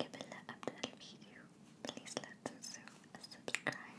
قبل لا أبدأ الفيديو بليز لا تنسوا السبسكرايب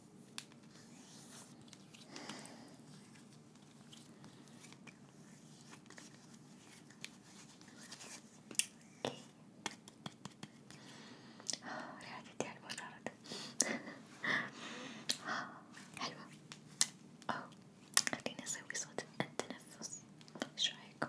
ريحة التي على المجرد حلوة أو خليني أسوي صوت التنفس، إيش رأيكم؟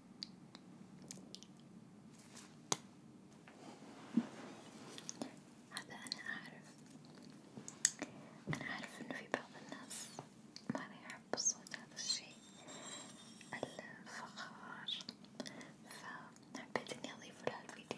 هذا أنا أعرف أنا أعرف إنه في بعض الناس ما يحب صوت هذا الشيء الفخار فحبيت إني أضيفه لهالفيديو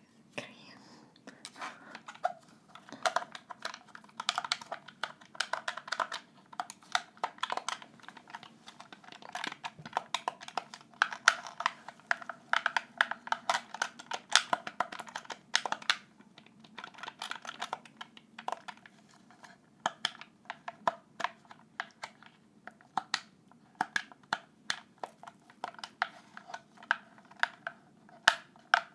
cream.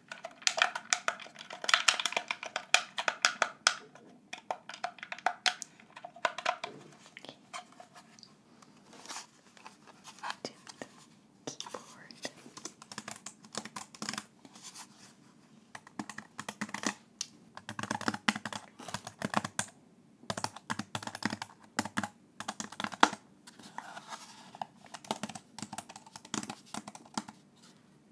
To the keyboard.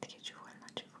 Takie çuvalına çuval.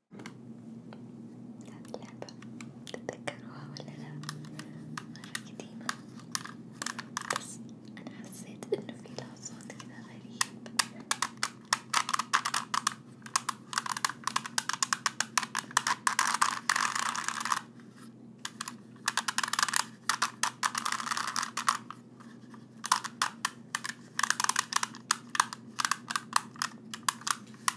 هذه اللعبة تتذكروها ولا لا؟ مرة قديمة بس أنا حسيت إنه في لها صوت كذا غريب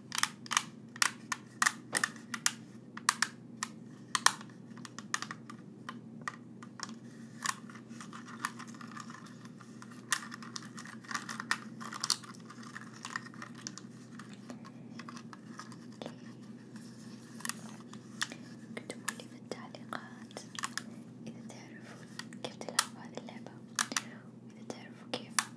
اكتبوا لي في التعليقات إذا تعرفوا كيف تلعبوا هذه اللعبة، وإذا تعرفوا كيف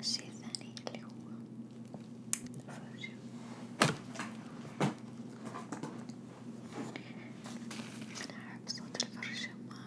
الشيء الثاني اللي هو فرشة أنا أحب صوت الفرشة مرة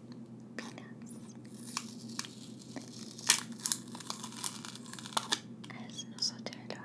Peanuts. I I don't know.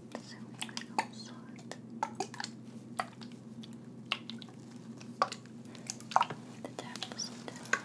So we can also the tap was down.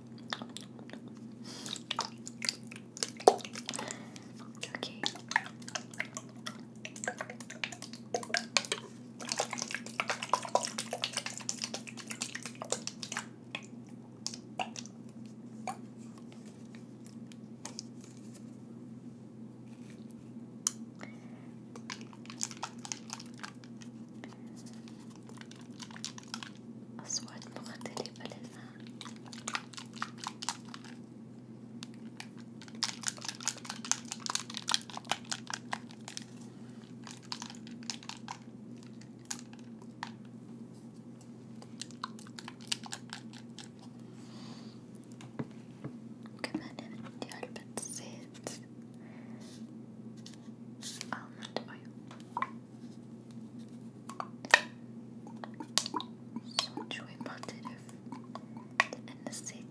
Okay. أصوات مختلفة للفن Güvenin diğer bir zeyt almant oyu. Son çok muhterif لأن الزيت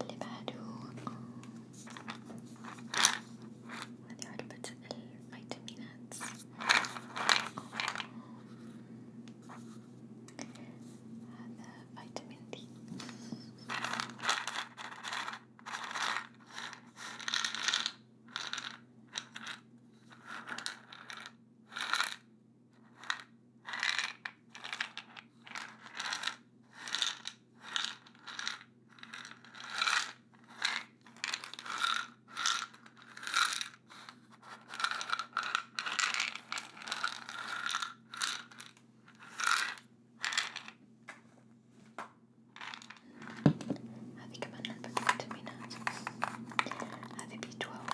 اللي بعده هذه علبة الفيتامينات هذا فيتامين دي have you come on and back to me now? Have you B12?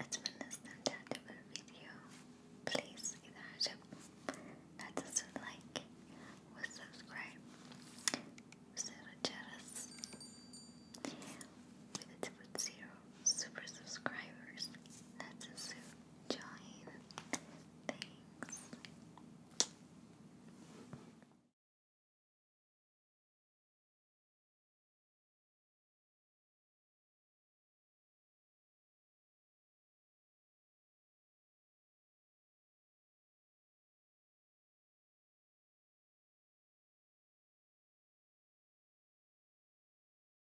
أتمنى استمتعتوا بالفيديو، بليز إذا عجبكم لا تنسوا اللايك والسبسكرايب وزر الجرس، وإذا تبوا تصيروا super subscribers. That's a suit join. Thanks.